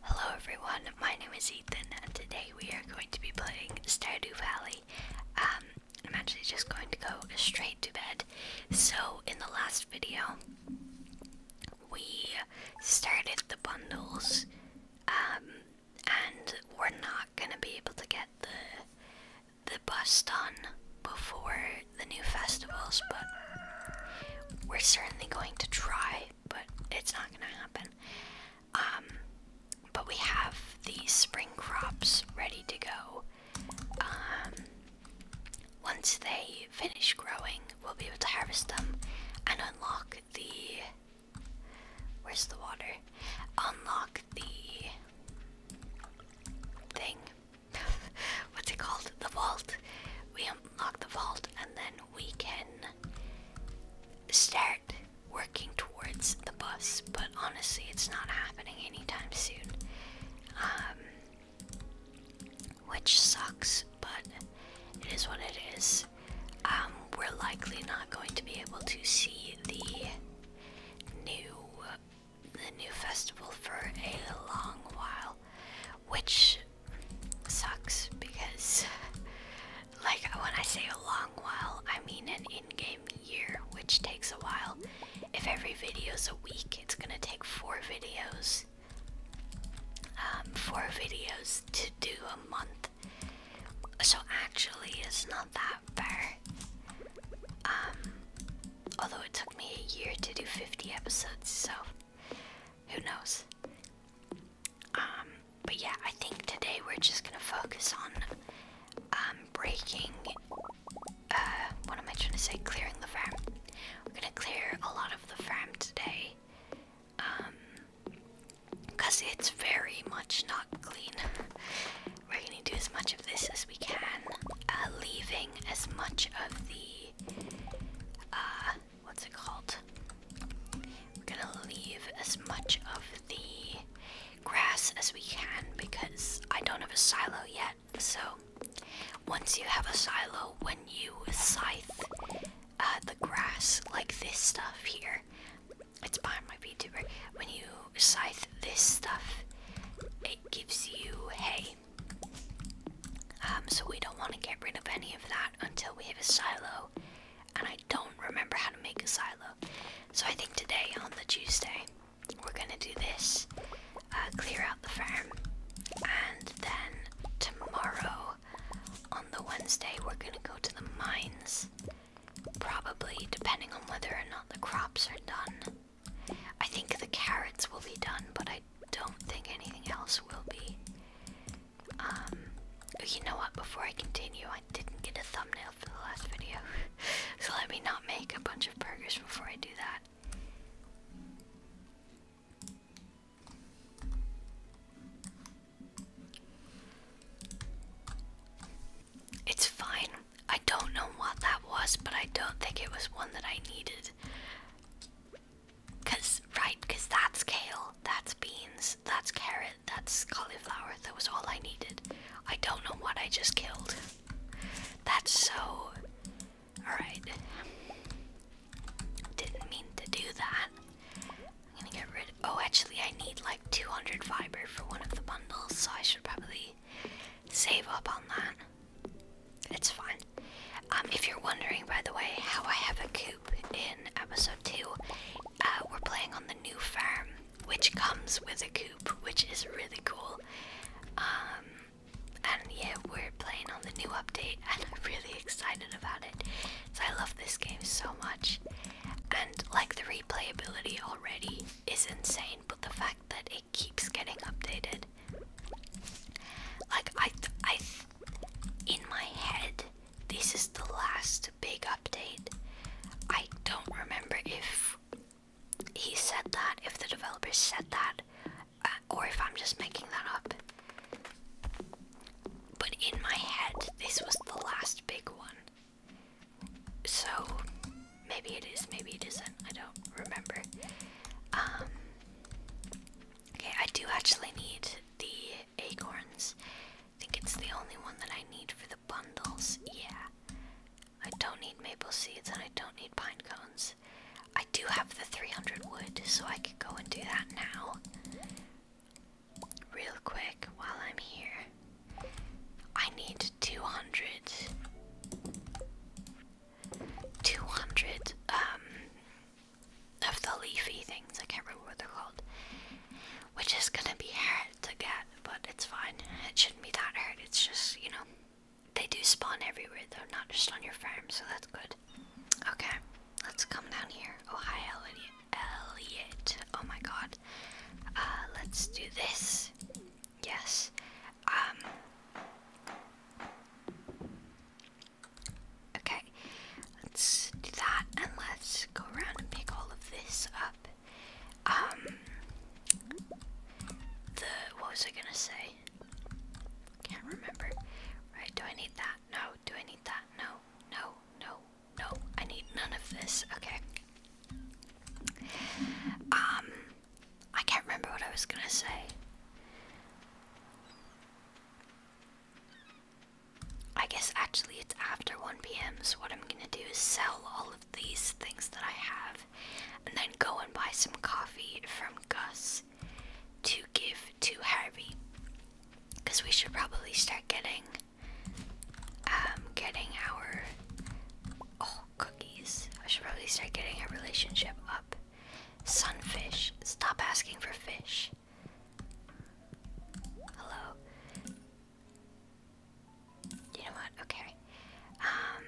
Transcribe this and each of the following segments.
Hello everyone, my name is Ethan and today we are going to be playing Stardew Valley. Um, I'm actually just going to go straight to bed. So in the last video, we started the bundles um, and we're not going to be able to get the the done before the new festivals, but we're certainly going to try, but it's not going to happen. Um, but we have the spring crops ready to go. Um, once they finish growing, we'll be able to harvest them and unlock the. Where's the water? Unlock the thing what's it called? The vault. We unlock the vault and then we can start working towards the bus. But honestly, it's not happening anytime soon. Um, which sucks, but it is what it is. Um, we're likely not going to be able to see the new the new festival for a long while, which sucks because, like, when I say a long while, I mean an in game year, which takes a while. If every video is a week, it's gonna take four videos. Um, four videos to do a month. So actually, it's not that fair. Um, Although it took me a year to do 50 episodes, so who knows? Um, but yeah, I think today we're just gonna focus on um, breaking. Uh, what am I trying to say? Clearing the farm. We're gonna clear a lot of the farm today. Um, because it's very much not clean. We're gonna do as much of this as we can, uh, leaving as much of the, uh, what's it called? We're gonna leave as much of the grass as we can because I don't have a silo yet. So, once you have a silo, when you scythe uh, the grass, like this stuff here, it's behind my VTuber. When you scythe this stuff, it gives you hay. Um, so we don't want to get rid of any of that until we have a silo. And I don't remember how to make a silo. So I think today, on the Tuesday, we're gonna do this. Uh, clear out the farm. And then tomorrow, on the Wednesday, we're gonna go to the mines. Probably, depending on whether or not the crops are done. I think the carrots will be done, but I don't think anything else will be. Um, oh, you know what? Before I continue, I didn't get a thumbnail for the last video, so let me not make a bunch of burgers before I do that. It's fine. I don't know what that was, but I don't think it was one that I needed. Cause right, cause that's kale, that's beans, that's carrot, that's cauliflower. That was all I needed. I don't know what I just killed. That's so. Alright. Didn't mean to do that. I'm gonna get rid of. Oh, actually, I need like 200 fiber for one of the bundles, so I should probably save up on that. It's fine. Um, if you're wondering, by the way, how I have a coop in episode 2, uh, we're playing on the new farm, which comes with a coop, which is really cool. Um, and yeah, we're playing on the new update, and I'm really excited about it. So I love this game so much. And like the replayability already is insane, but the fact that it keeps getting updated, like I, I, in my head, this is the last big update. I don't remember if he said that, if the developers said that, uh, or if I'm just making that up. But in my head, this was the last big one. So maybe it is, maybe it isn't. I don't remember. Um, okay, I do actually need the acorns. I think it's the only one that I need for the bundles. Yeah. I don't need maple seeds and I don't need pine cones. I do have the 300 wood, so I could go and do that now. Real quick, while I'm here, I need 200 200 um, of the leafy things, I can't remember what they're called, which is gonna be hard to get, but it's fine. It shouldn't be that hard, it's just, you know, they do spawn everywhere though, not just on your farm, so that's good. Okay, let's come down here. Oh, hi, Elliot. Elliot. Oh my god. Uh, let's do this. Yes. Um, okay. Let's do that and let's go around and pick all of this up. Um. The. What was I gonna say? Can't remember. Right. Do I need that? No. Do I need that? No. No. No. No. I need none of this. Okay. Um. I can't remember what I was gonna say. I guess actually it's after 1 pm, so what I'm gonna do is sell all of these things that I have and then go and buy some coffee from Gus to give to Harvey. Because we should probably start getting um getting our oh I should probably start getting a relationship up. Sunfish. Stop asking for fish. Hello. You know what? Okay. Um.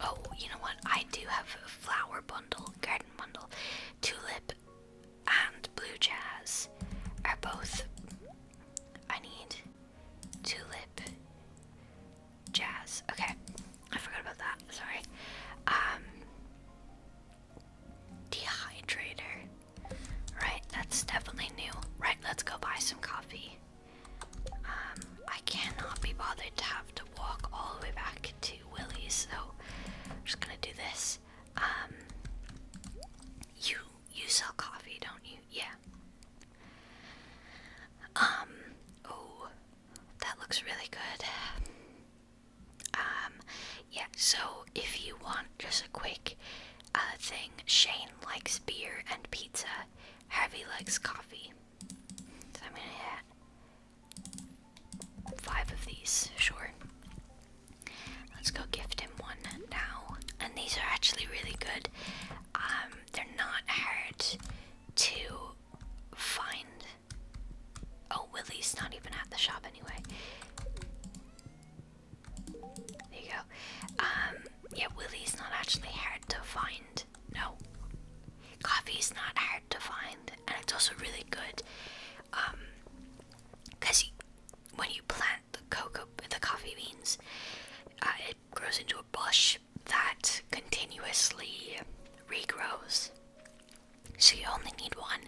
Oh, you know what? I do have a flower bundle, garden bundle, tulip, and blue jazz are both. I need tulip jazz. Okay, I forgot about that. Sorry. Um, dehydrator. Right, that's definitely new. Right, let's go buy some coffee. Um, I cannot be bothered to have to walk all the way back to Willie's, so I'm just gonna do this. Um, you you sell coffee, don't you? Yeah. Um, oh, that looks really good. Um, yeah, so if you want just a quick uh, thing, Shane likes beer and pizza, Harvey likes coffee. So I'm gonna add five of these, sure. Let's go gift him one now. And these are actually really good. Um, they're not hard to find. Oh, Willie's not even at the shop anyway. There you go. Um, yeah, Willie's not actually hard to find. No. Coffee's not hard to find, and it's also really good. Um, cause when you plant the cocoa, the coffee beans, uh, it grows into a bush, that continuously regrows. So you only need one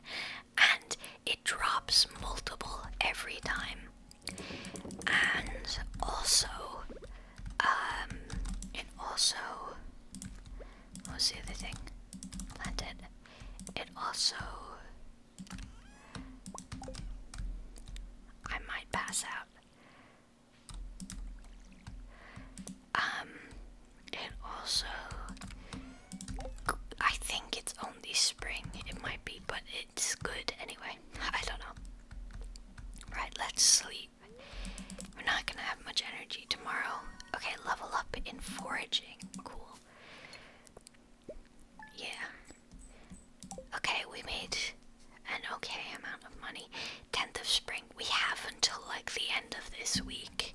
and it drops multiple every time. And also, um, it also, What's the other thing? Planted. It also, I might pass out. Um, and also, I think it's only spring. It might be, but it's good anyway. I don't know. Right, let's sleep. We're not gonna have much energy tomorrow. Okay, level up in foraging. Cool. Yeah, Okay, we made an okay amount of money. 10th of spring. We have until like the end of this week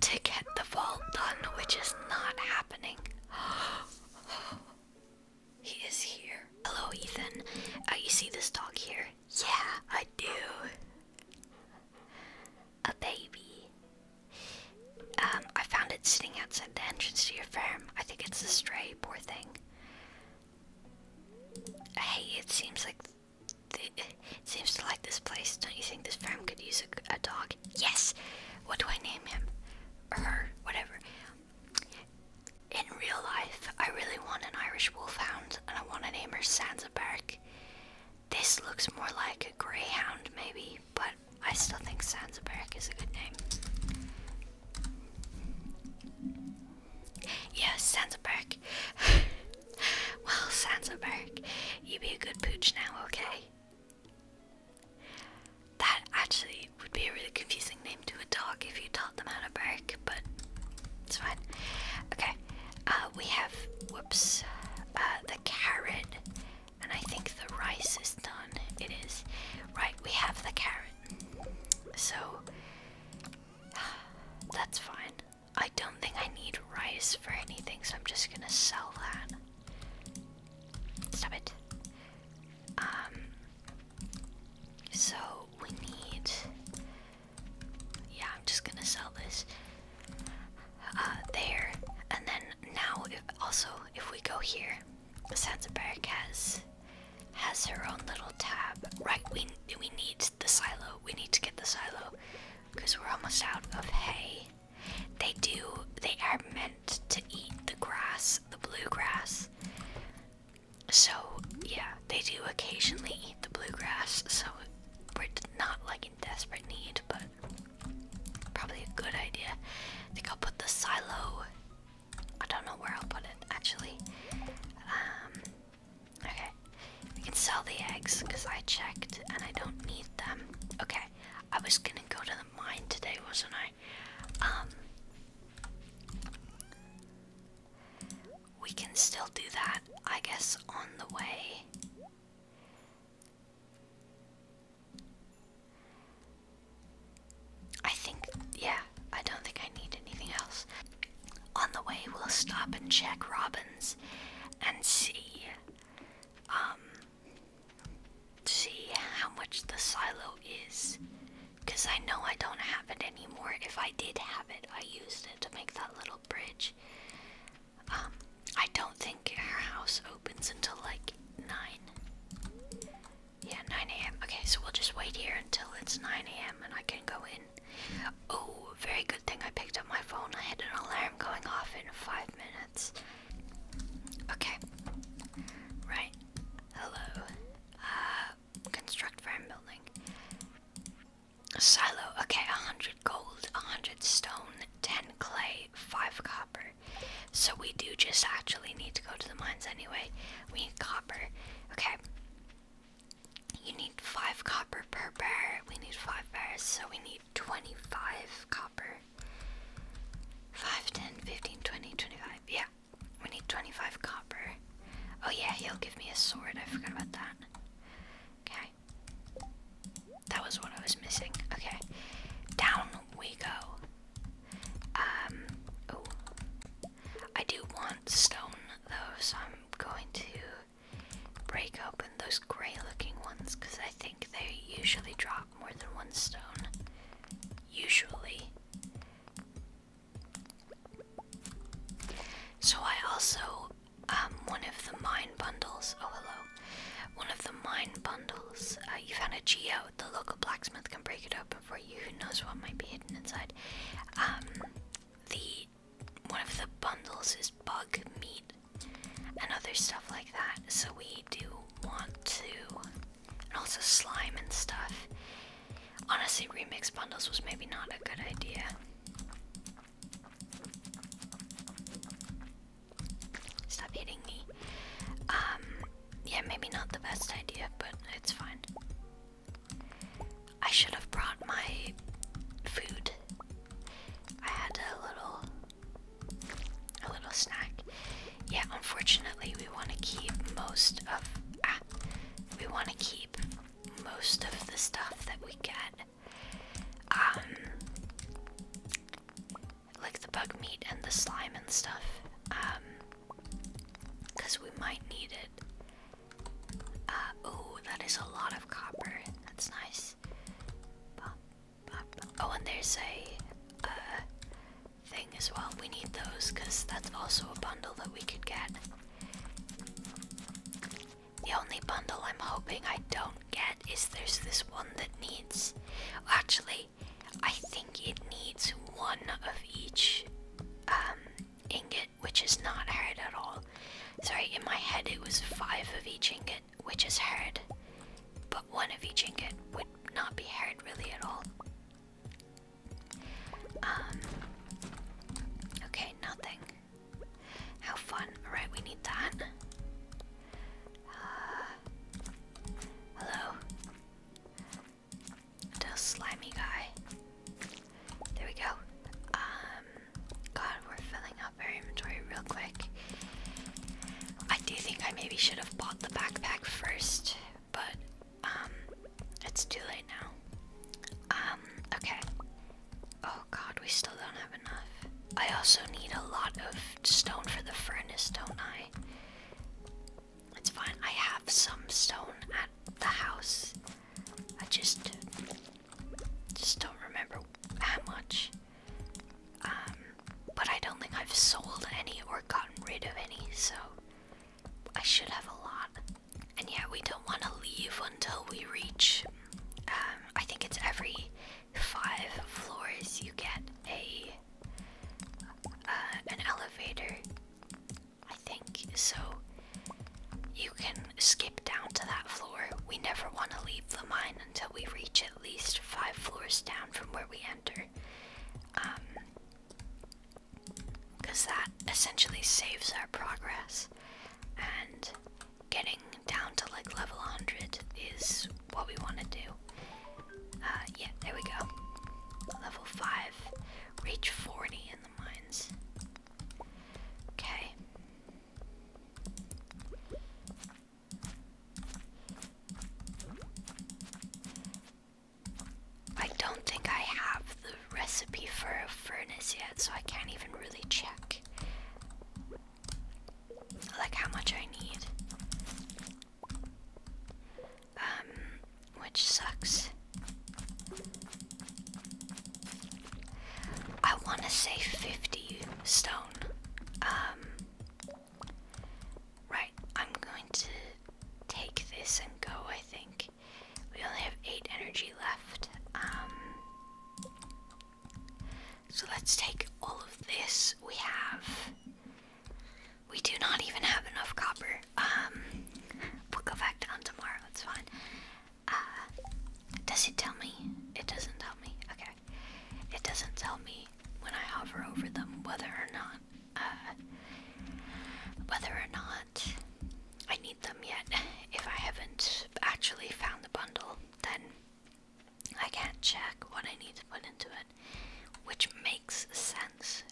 to get the vault done, which is not happening. he is here. Hello, Ethan. Uh, you see this dog here? Yeah, I do. A baby. Um, I found it sitting outside the entrance to your farm. I think it's a stray, poor thing. Hey, it seems like it seems to like this place. Don't you think this farm could use a, dog? Yes. What do I name him? her? Whatever. In real life, I really want an Irish Wolfhound, and I want to name her Sansa Bark. This looks more like a Greyhound, maybe, but I still think Sansa Bark is a good name. Yes, Sansaberg. well, Sansaberg, you be a good pooch now, okay? That actually would be a really confusing name to a dog if you taught them how to bark, but it's fine. Okay, uh, we have, whoops, uh, the carrot, and I think the rice is done. It is. Right, we have the carrot. So that's fine. I don't think I need rice for anything, so I'm just gonna sell that. Stop it. Um. So we need. Yeah, I'm just gonna sell this. Uh, there, and then now, also, if we go here, Sansaberg has has her own little tab. Right, we we need the silo. We need to get the silo because we're almost out of hay. They do. They are meant to eat the grass, the bluegrass. So yeah, they do occasionally eat the bluegrass. So we're not like in desperate need, but probably a good idea. I think I'll put the silo I don't know where I'll put it actually. Um, okay, we can sell the eggs because I checked and I don't need them. Okay, I was gonna go to the mine today, wasn't I? Um, we can still do that, I guess, on the way. I think, yeah, I don't think I need anything else. On the way, we'll stop and check Robin's and see, um, see how much the silo is. Because I know I don't have it anymore. If I did have it, I used it to make that little bridge. Um, I don't think her house opens until like 9. Yeah, 9 a.m. Okay, so we'll just wait here until it's 9 a.m. and I can go in. Oh, very good thing I picked up my phone. I had an alarm going off in five minutes. Okay. Right. Hello. Uh, construct farm building. silo. Okay, 100 gold, 100 stone, 10 clay, 5 copper. So we do just actually need to go to the mines anyway. We need copper. Okay. You need five copper per bear. We need five bears, so we need 25 copper. 5, 10, 15, 20, 25. Yeah, we need 25 copper. Oh, yeah, he'll give me a sword. I forgot about that. Okay. That was what I was missing. Okay. Down we go. Um, I do want stone though, so I'm going to break open those grey looking ones because I think they usually drop more than one stone. Usually. So I also, um, one of the mine bundles, oh hello, one of the mine bundles, uh, you found a geo, the local blacksmith can break it up for you, who knows what might be hidden inside. Um, the one of the bundles is bug meat and other stuff like that. So we do want to, and also slime and stuff. Honestly, remix bundles was maybe not a good idea. Stop hitting me. Um, yeah, maybe not the best idea, but it's fine. I should have brought my food. I had a little a little snack. Yeah, unfortunately we want to keep most of ah, we want to keep most of the stuff that we get. Um like the bug meat and the slime and stuff. Um because we might need it. oh, that is a lot of copper. That's nice. Oh, and there's a uh, thing as well. We need those because that's also a bundle that we could get. The only bundle I'm hoping I don't get is there's this one that needs. Actually, I think it needs one of each um, ingot, which is not hard at all. Sorry, in my head it was five of each ingot, which is hard, but one of each ingot would not be hard really at all. Um, okay, nothing. How fun. Alright, we need that. Uh, hello the slimy guy. There we go. Um, God, we're filling up our inventory real quick. I do think I maybe should have bought the backpack first, but um, it's too late now. Um, okay. Oh God, we still don't have enough. I also need a lot of stone for the furnace, don't I? It's fine. I have some stone at the house. I just just don't remember how much. Um, but I don't think I've sold any or gotten rid of any, so I should have a lot. And yeah, we don't want to leave until we reach. Um, I think it's every five floors you get a uh, an elevator, I think, so you can skip down to that floor. We never want to leave the mine until we reach at least five floors down from where we enter. Because um, that essentially saves our progress, and getting down to like level 100 is what we want to do. Uh, yeah, there we go. Level 5. Reach 40 in the mines. Okay. I don't think I have the recipe for a furnace yet, so I can't even really check like how much I need. Um, which sucks. I want to say 50 stone. Um, right, I'm going to take this and go, I think. We only have 8 energy left. Um, so let's take all of this. We have we do not even have enough copper. Um, we'll go back down tomorrow. It's fine. Uh, does it tell me? It doesn't tell me. Okay. It doesn't tell me when I hover over them whether or not, uh, whether or not I need them yet. If I haven't actually found the bundle, then I can't check what I need to put into it, which makes sense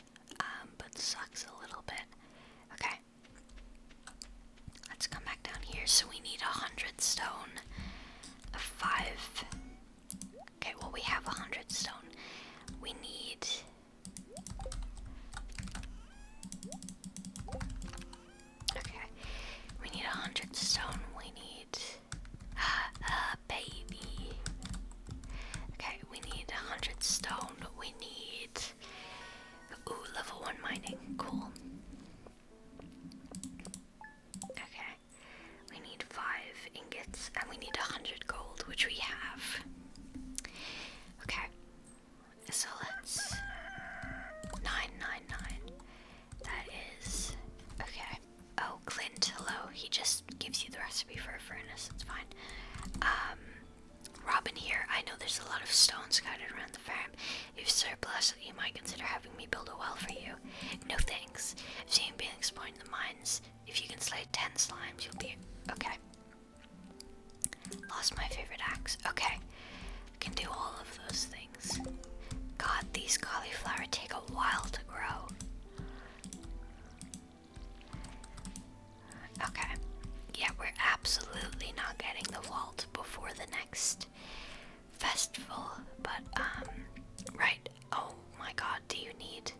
um, but sucks a little bit. Okay. Let's come back down here. So we need a hundred stone, a five. Okay, well, we have a hundred stone. We need. Okay. We need a hundred stone. We need. Uh, a baby. Okay, we need a hundred stone. We need level one mining. Cool. Okay. We need five ingots and we need a hundred gold, which we have. Okay. So let's nine nine nine. That is okay. Oh, Clint, hello. He just gives you the recipe for a furnace. It's fine. Um, Robin here. I know there's a lot of stones scattered around the farm. If surplus, you might consider having me build a well for you. No thanks. I've seen being exploring the mines. If you can slay 10 slimes, you'll be okay. Lost my favorite axe. Okay. I can do all of those things. God, these cauliflower take a while to grow. Okay. Yeah, we're absolutely not getting the vault before the next festival, but, um, right. Oh my god, do you need.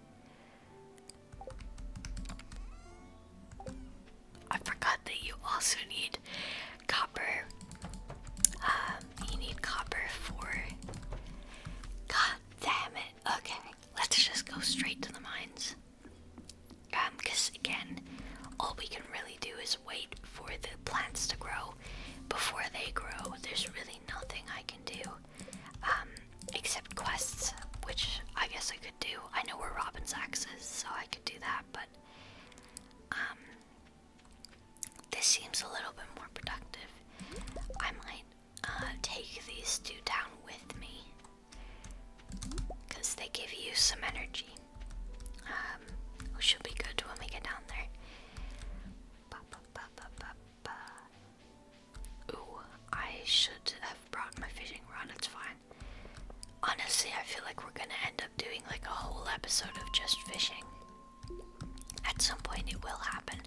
I forgot that you also need copper. Um, you need copper for. God damn it. Okay let's just go straight to the mines. because um, again, all we can really do is wait for the plants to grow. Before they grow, there's really nothing I can do. Um, except quests, which I guess I could do. I know where Robin's axe is, so I could do that, but um, this seems a little bit more productive. I might uh, take these two down with me because they give you some energy. Um, should be good when we get down there. Ooh, I should have brought my fishing rod, it's fine. Honestly, I feel like we're gonna end up doing like a whole episode of just fishing. At some point, it will happen.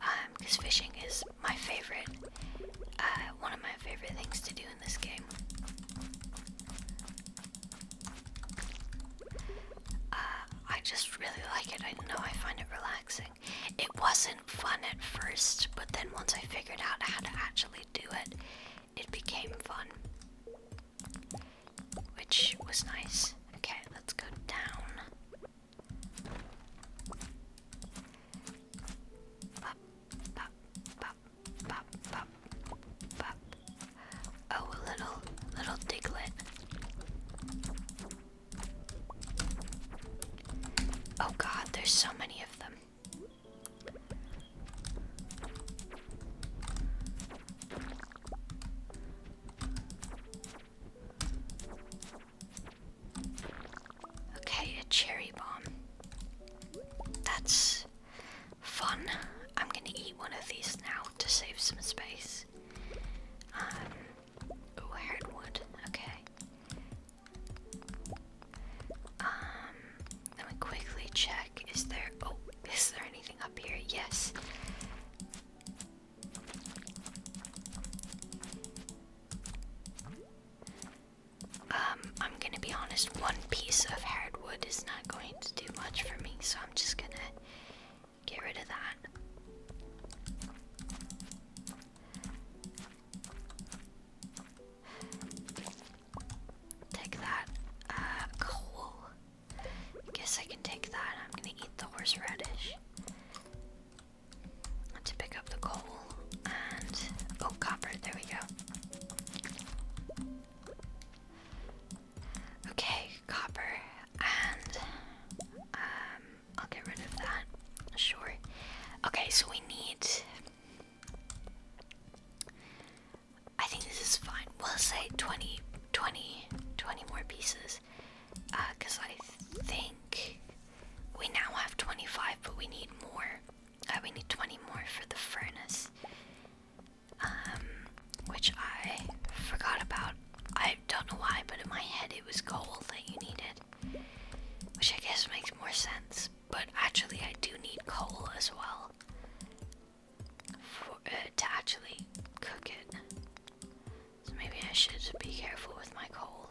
Um, because fishing is my favorite, uh, one of my favorite things to do in this game. Uh, I just really like it. I know I find it relaxing. It wasn't fun at first, but then once I figured out how to actually do it, it became fun. Which was nice. Okay, let's go down. Pop, pop, pop, pop, pop, pop. Oh, little, little diglet. Oh god, there's so many of them. Okay, a cherry bomb. That's fun. I'm gonna eat one of these now to save some space. Um, oh, hardwood. Okay. Um, let me quickly check. Is there? Oh, is there anything up here? Yes. Um, I'm gonna be honest, one piece of hardwood is not going to do much for me, so I'm just gonna get rid of that. Take that, uh, coal. Guess I can take that. I'm gonna eat the horseradish to pick up the coal and oh copper, there we go. Okay, copper and um I'll get rid of that. Sure. Okay, so we need I think this is fine. We'll say 20 more pieces. Uh cuz I think we now have 25, but we need more. Uh, we need 20 more for the furnace, um, which I forgot about. I don't know why, but in my head it was coal that you needed, which I guess makes more sense. But actually, I do need coal as well uh, to actually cook it. So maybe I should be careful with my coal.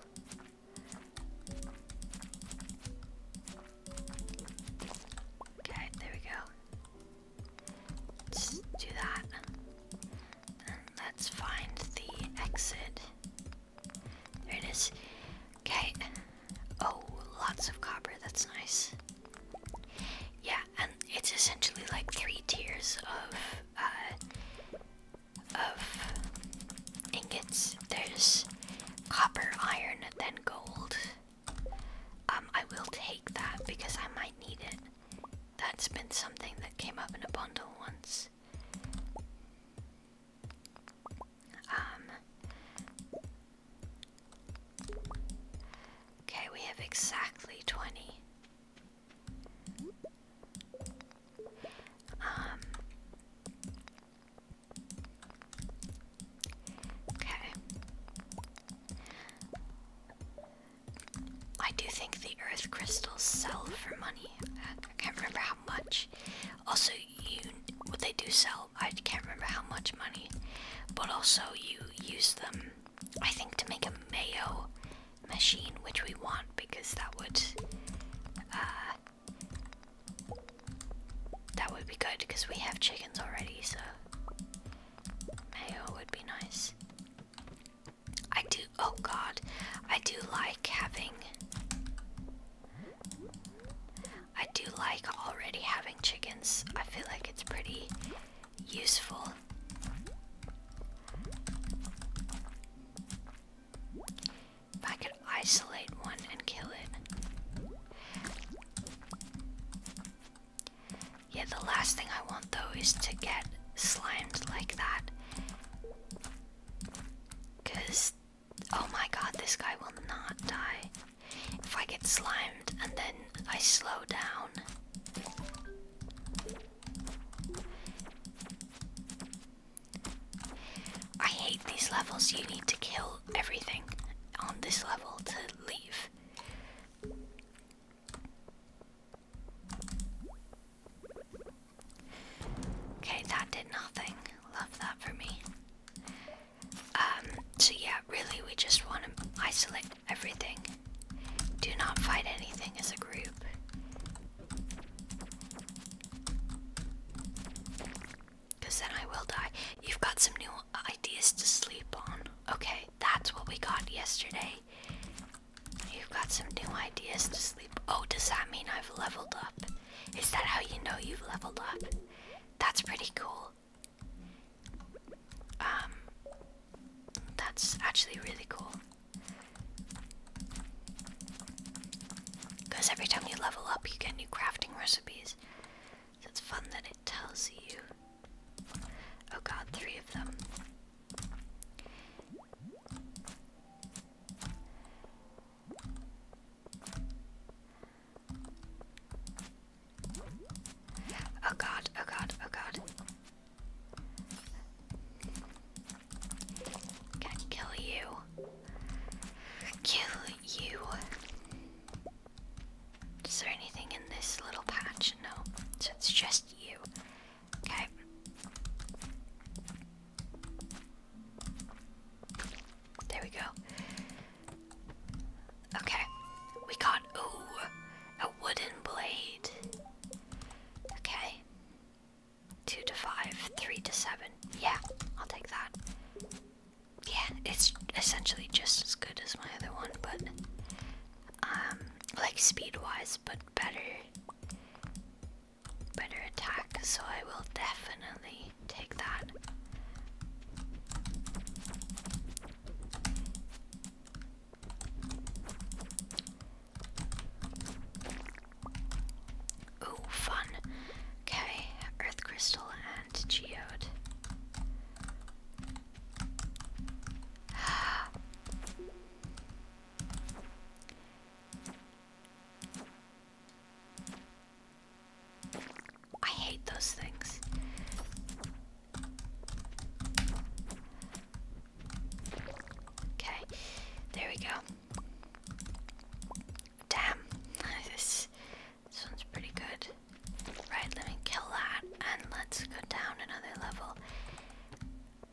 Okay, there we go. do that. let's find the exit. There it is. Okay. Oh, lots of copper. That's nice. Yeah, and it's essentially like three tiers of uh, of ingots. There's copper, iron, then gold. Um, I will take that because I might need it. That's been something that came up in a bundle once. Um. Okay, we have exactly 20. Um, okay. I do think the earth crystals sell for money. I can't remember how much. Also, you what they do sell. I can't remember how much money, but also you use them. I think to make a mayo machine, which we want because that would uh, that would be good because we have chickens already, so mayo would be nice. I do. Oh God, I do like having. I do like already having chickens. I feel like it's pretty useful. If I could isolate one and kill it. Yeah, the last thing I want though is to get slimed like that. Because, oh my god, this guy will not die. If I get slimed and then I slow down, I hate these levels. You need to kill everything on this level to leave. Okay, that did nothing. Love that for me. Um, so yeah, really we just want to isolate everything. Do not fight anything as a group. Because then I will die. You've got some new ideas to sleep on. Okay, that's what we got yesterday. You've got some new ideas to sleep. Oh, does that mean I've leveled up? Is that how you know you've leveled up? That's pretty cool. Um, that's actually really cool. Because every time you level up, you get new crafting recipes. So it's fun that it tells you. Oh god, three of them. Oh god, oh god, oh god. Can kill you. Kill you. Is there anything in this little patch? No. So it's just you. Okay. There we go. Okay. We got ooh a wooden blade. Okay. Two to five, three to seven. Yeah, I'll take that. Yeah, it's essentially just as good as my other one, but um, like speed wise, but better, better attack. So I will definitely take that. Ooh, fun. Okay, Earth Crystal and Geode. I hate those things. Okay, there we go. Damn, this, this one's pretty good. Right, let me kill that and let's go down another level.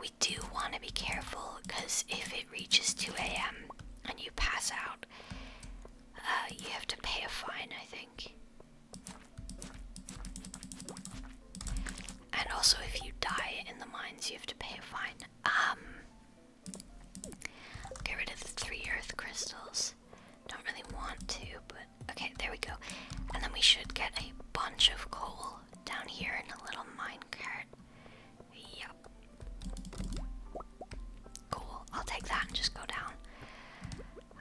We do want to be careful because if it reaches 2 a.m. and you pass out, uh, you have to pay a fine, I think. And also, if you die in the mines, you have to pay a fine. Um, get rid of the three earth crystals. Don't really want to, but okay, there we go. And then we should get a bunch of coal down here in a little minecart. Yep. Cool. I'll take that and just go down.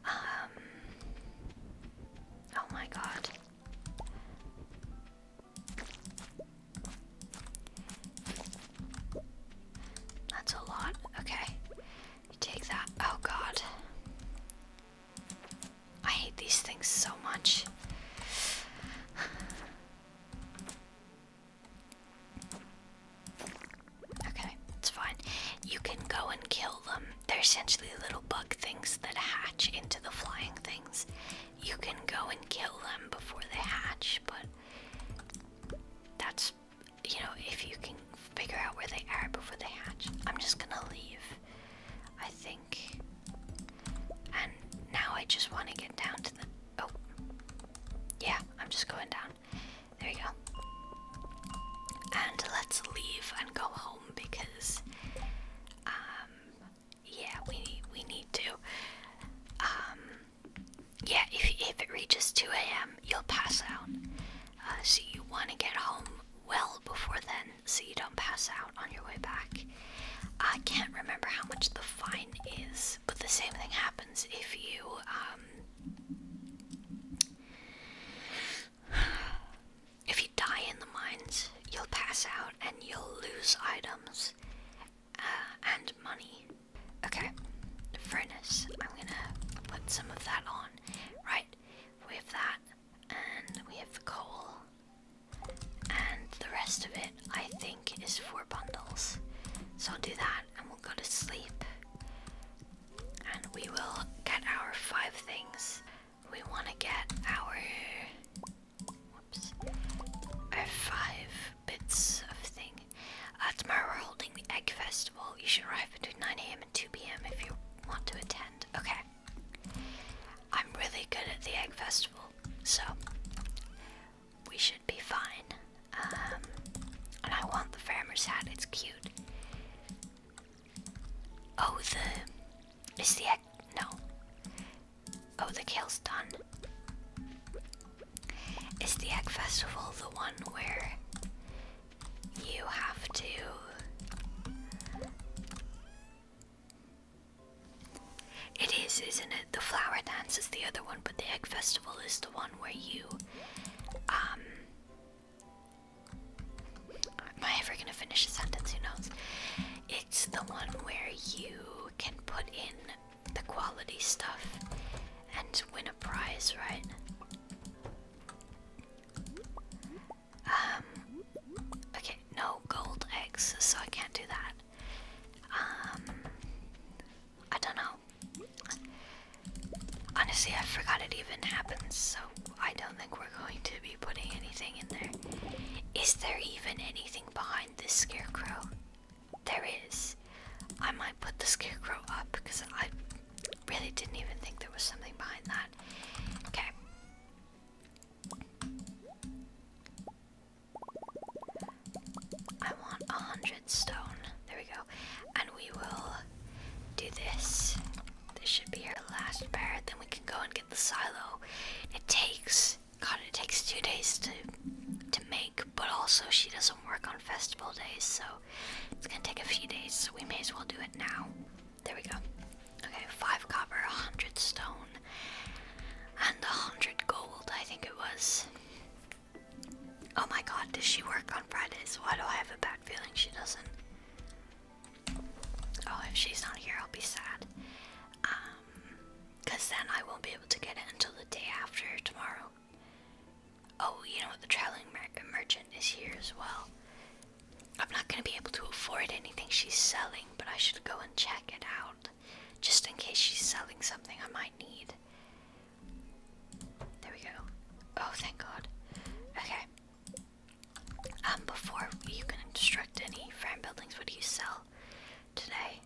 Um. Oh my god. That's a lot. Okay. take that. Oh god. I hate these things so much. okay, it's fine. You can go and kill them. They're essentially little bug things that hatch into the flying thing. You can go and kill them before they hatch, but that's, you know, if you can figure out where they are before they hatch. I'm just gonna leave, I think. And now I just want to get down to the. Oh. Yeah, I'm just going down. There you go. And let's leave and go home because um, yeah, we need we need to. Um, yeah, if if it reaches two a.m., you'll pass out. Uh, so you want to get home well before then, so you don't pass out on your way back. I can't remember how much the fine is, but the same thing happens if you um if you die in the mines, you'll pass out and you'll lose items uh, and money. Okay, furnace. I'm gonna put some of that on. Right, we have that, and we have the coal, and the rest of it I think is four bundles. So I'll do that, and we'll go to sleep, and we will get our five things we want to get our our five bits of thing. Uh, tomorrow we're holding the egg festival. You should arrive between 9 a.m. and 2 p.m. if you want to attend. Okay. I'm really good at the egg festival, so we should be fine. Um, and I want the farmer's hat. It's cute. Oh, the is the egg? No. Oh, the kill's done. Is the egg festival the one where you have to? It is, isn't it? The flower dance is the other one, but the egg festival is the one where you, um, Am I ever gonna finish a sentence? Who knows? It's the one where you can put in the quality stuff and win a prize, right? Um. Okay, no gold eggs, so I can't do that. Um. I don't know. Honestly, I forgot it even happened, so I don't think we're going to be be putting anything in there. Is there even anything behind this scarecrow? There is. I might put the scarecrow up because I really didn't even think there was something behind that. Okay. I want a hundred stone. There we go. And we will do this. This should be our last pair. Then we can go and get the silo. It takes God, it takes two days to to make, but also she doesn't work on festival days, so it's gonna take a few days. So we may as well do it now. There we go. Okay, five copper, a hundred stone, and a hundred gold. I think it was. Oh my God, does she work on Fridays? Why do I have a bad feeling she doesn't? Oh, if she's not here, I'll be sad. Um, cause then I won't be able to get it until the day after tomorrow. Oh, you know what? The traveling mer merchant is here as well. I'm not gonna be able to afford anything she's selling, but I should go and check it out, just in case she's selling something I might need. There we go. Oh, thank God. Okay. Um, before you can construct any frame buildings, what do you sell today?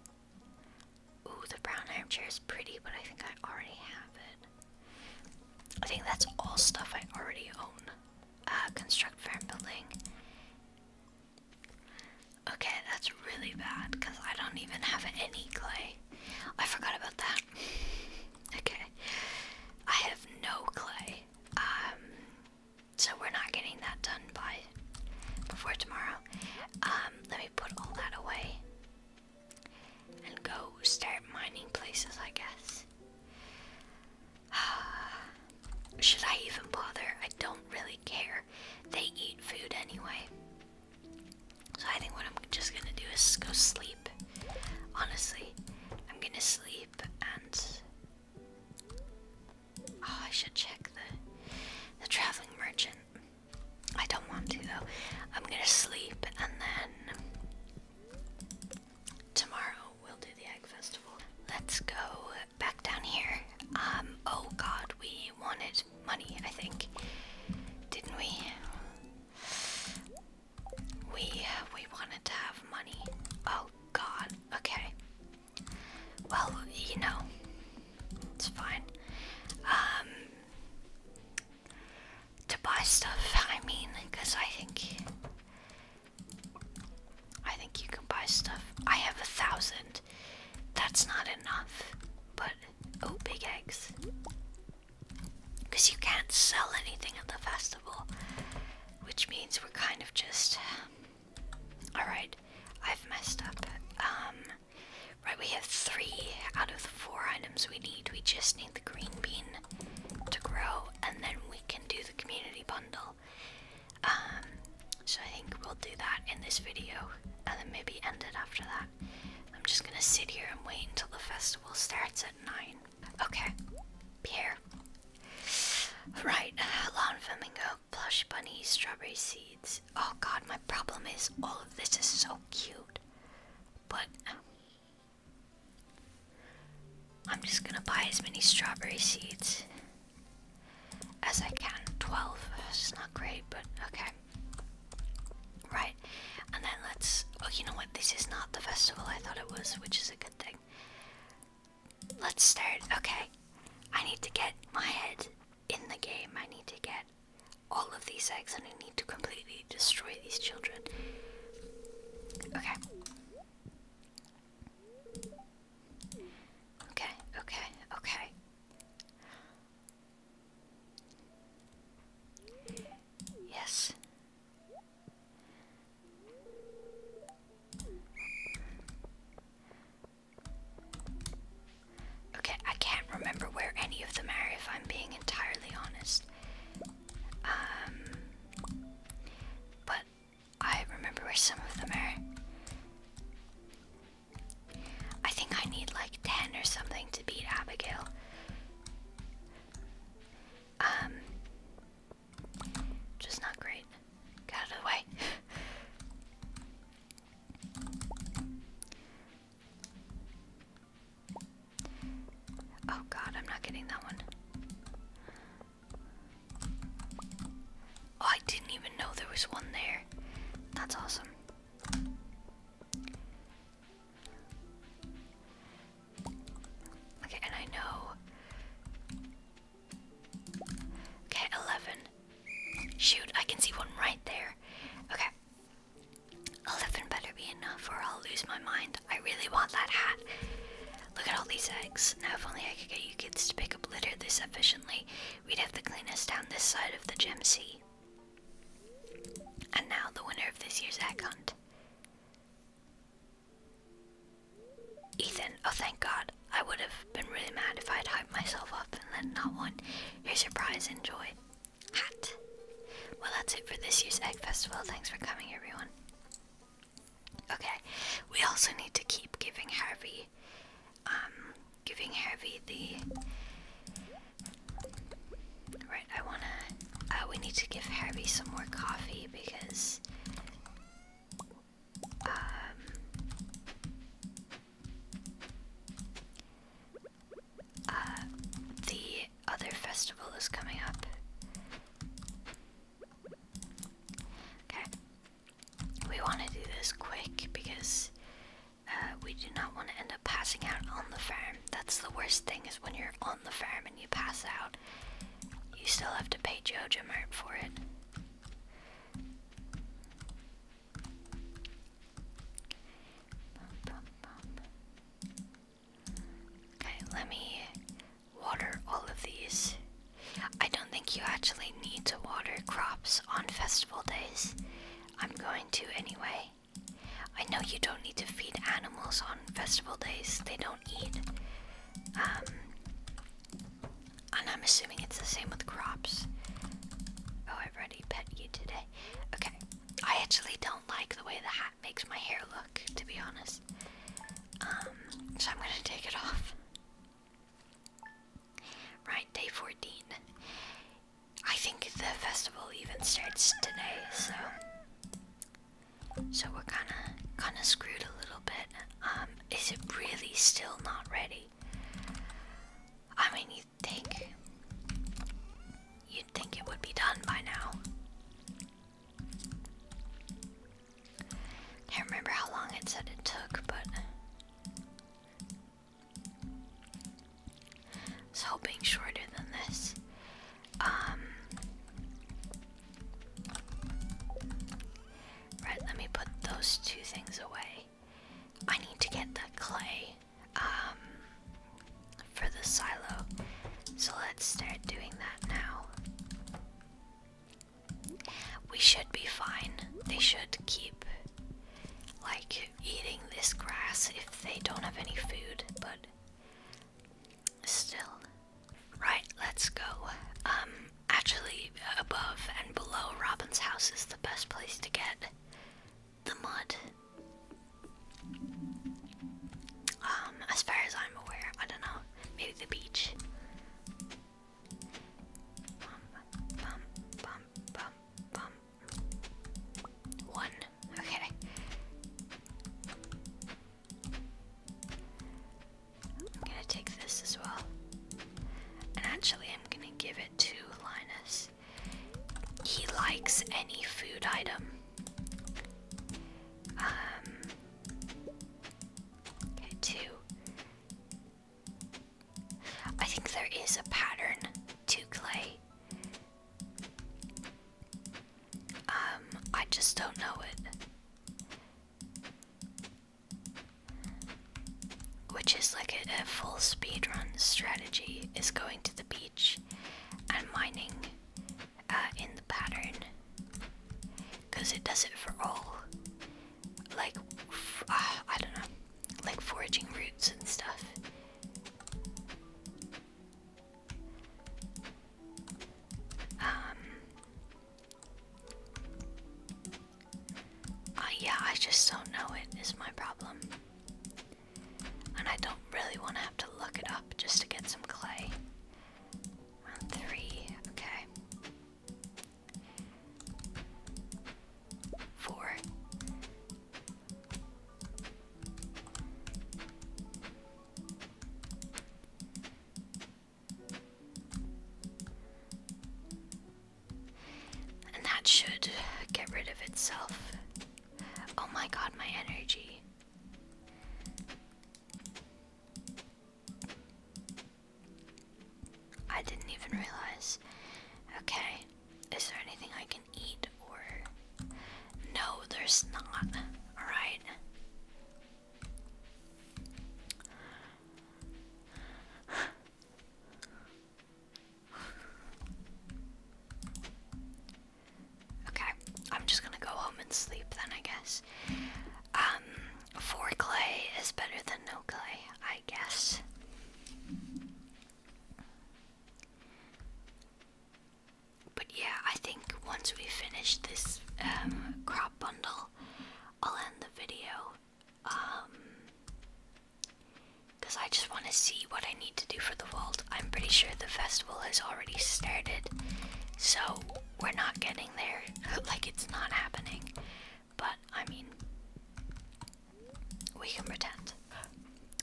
Ooh, the brown armchair is pretty, but I think I already have it. I think that's all stuff I already own. Uh, construct frame building. Okay, that's really bad because I don't even have any clay. I forgot about that. okay, I have no clay. Um, so we're not getting that done by before tomorrow. Um, let me put all that away and go start mining places, I guess. Should I even bother? I don't really care. They eat food anyway. So I think what I'm just gonna do is go sleep. Honestly, I'm gonna sleep and Oh, I should check the the traveling merchant. I don't want to though. I'm gonna sleep and then tomorrow we'll do the egg festival. Let's go back down here. Um, oh god, we wanted money, I think. Didn't we? We uh, we wanted to have money. Oh God. Okay. Well, you know, it's fine. Um, to buy stuff. I mean, because I think I think you can buy stuff. I have a thousand. That's not enough. But oh, big eggs. Because you can't sell anything at the festival. Which means we're kind of just. Um, Alright, I've messed up. Um, right, we have three out of the four items we need. We just need the green bean to grow, and then we can do the community bundle. Um, so I think we'll do that in this video, and then maybe end it after that. I'm just gonna sit here and wait until the festival starts at 9. Okay, Pierre. Right, uh, lawn flamingo, plush bunny, strawberry seeds. Oh god, my problem is all of this is so cute. But um, I'm just gonna buy as many strawberry seeds as I can. 12. It's not great, but okay. Right, and then let's. Oh, you know what? This is not the festival I thought it was, which is a good thing. Let's start. Okay. I need to get my head in the game. I need to get all of these eggs and I need to completely destroy these children. Okay. Okay, okay, okay. Yes. Okay, I can't remember where any of them are if I'm being entirely honest. Um, but I remember where some of them are. I think I need like 10 or something to beat Abigail. Um, just not great. Get out of the way. oh god, I'm not getting that one. Oh, I didn't even know there was one there. That's awesome. Okay, and I know. Okay, 11. Shoot, I can see one right there. Okay. 11 better be enough or I'll lose my mind. I really want that hat. Look at all these eggs. Now, if only I could get you kids to pick up litter this efficiently, we'd have the cleanest down this side of the gem sea. And now, the winner of this year's egg hunt. Ethan, oh thank god. I would have been really mad if I had hyped myself up and then not won. Here's your prize, enjoy. Hat. Well, that's it for this year's Egg Festival. Thanks for coming, everyone. Okay, we also need to keep giving Harvey, um, giving Harvey the. Right, I wanna. Uh, we need to give Harvey some more coffee because um, uh, the other festival is coming up. Okay. We want to do this quick because uh, we do not want to end up passing out on the farm. That's the worst thing is when you're on the farm and you pass out, you still have to pay Jojo Mart for it. Okay, let me water all of these. I don't think you actually need to water crops on festival days. I'm going to anyway. I know you don't need to feed animals on festival days, they don't eat. Um, and I'm assuming it's the same with crops. Oh, i already pet you today. Okay, I actually don't like the way the hat makes my hair look, to be honest. Um, so I'm gonna take it off. Right, day 14. I think the festival even starts today, so so we're kinda kinda screwed a little bit. Um, is it really still not ready? I mean you'd think you'd think it would be done by now. Can't remember how long it said it took, but I hoping shorter than this. Um, right, let me put those two things away. I need to get the clay um, for the silo, so let's start doing that now. We should be fine. They should keep like eating this grass if they don't have any food, but still. Right, let's go. Um, actually, above and below Robin's house is the best place to get the mud. Um, as far as I'm aware, I don't know, maybe the beach. One. Okay. I'm gonna take this as well. And actually, I'm gonna give it to Linus. He likes any food item. Um, okay, two. I think there is a pattern to clay. Um, I just don't know it. Which is like a, full speed run strategy is going to the beach and mining uh, in the pattern. Because it does it for all. Like, ah, I don't know. Like foraging roots and stuff. Um. Uh, yeah, I just don't know it is my problem. And I don't really want to have to look it up just to get some clay. three, okay. Four. And that should get rid of itself. Oh my god, my energy. I didn't even realize. Okay, is there anything I can eat or. No, there's not. Alright. Okay, I'm just gonna go home and sleep then, I guess. Um, four clay is better than no clay, I guess. But yeah, I think once we finish this um, crop bundle, I'll end the video. because um, I just want to see what I need to do for the vault. I'm pretty sure the festival has already started, so we're not getting there. like, it's not happening. But, I mean, we can pretend.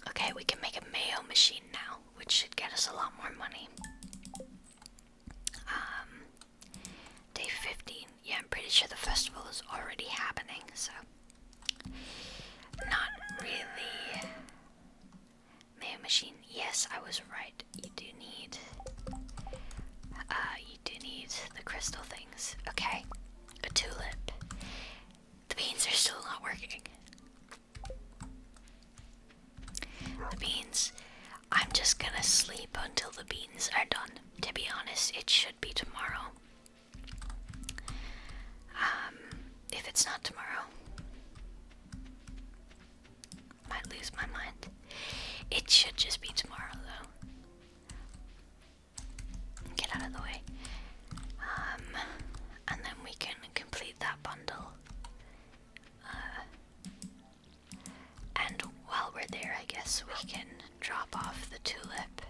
Okay, we can make a mayo machine now, which should get us a lot more money. Um, day 15. Yeah, I'm pretty sure the festival is already happening, so. Not really. Mayo machine. Yes, I was right. You do need. Uh, you do need the crystal things. Okay. A tulip. The beans are still not working. The beans. I'm just gonna sleep until the beans are done. To be honest, it should be tomorrow. Um, if it's not tomorrow, might lose my mind. It should just be tomorrow, though. Get out of the way. Um, and then we can complete that bundle. Uh, and while we're there, I guess we can drop off the tulip.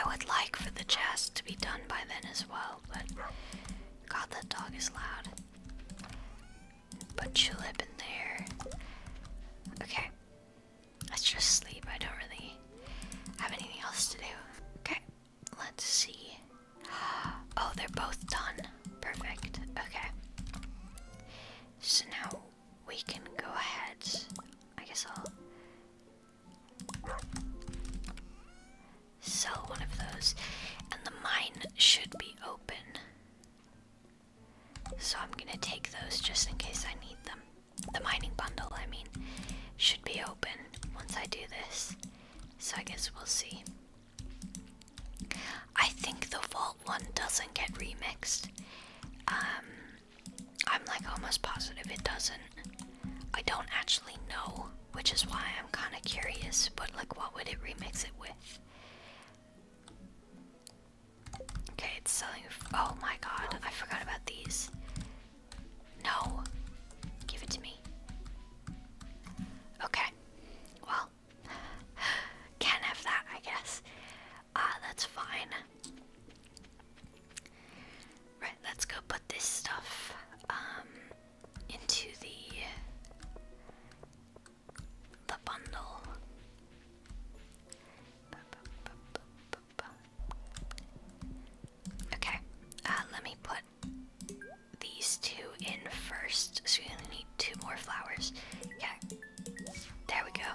I would like for the chest to be done by then as well, but God, that dog is loud. Put Tulip in there. Okay. Let's just sleep. I don't really have anything else to do. Okay, let's see. Oh, they're both done. Perfect. Okay. So now we can go ahead. I guess I'll sell one of those. And the mine should be open. So I'm gonna take those just in case I need them the mining bundle, I mean, should be open once I do this. So I guess we'll see. I think the vault one doesn't get remixed. Um, I'm like almost positive it doesn't. I don't actually know, which is why I'm kind of curious. But like, what would it remix it with? Okay, it's selling. Oh my god, I forgot about these. No. Give it to me. Okay. Well, can have that, I guess. Ah, that's fine. Right, let's go put this stuff um into the the bundle. Okay, uh, let me put these two in first. So we're gonna need two more flowers. Okay, there we go.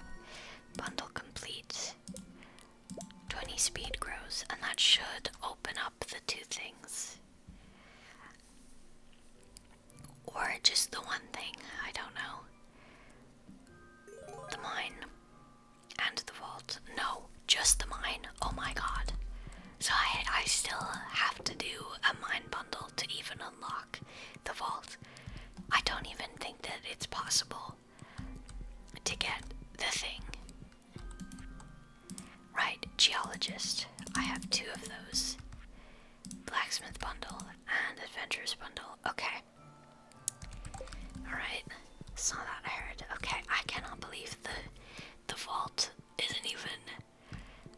Bundle completes. 20 speed grows, and that should open up the two things. Or just the one thing, I don't know. The mine. And the vault. No, just the mine. Oh my god. So I, I still have to do a mine bundle to even unlock the vault. I don't even think that it's possible to get the thing. Right, geologist. I have two of those. Blacksmith bundle and adventurers bundle. Okay. Alright, saw that herd. Okay, I cannot believe the the vault isn't even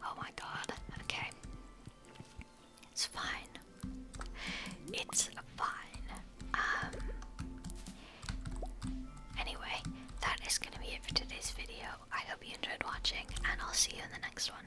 Oh my god. Okay. It's fine. It's fine. Um anyway, that is gonna be it for today's video. I hope you enjoyed watching and I'll see you in the next one.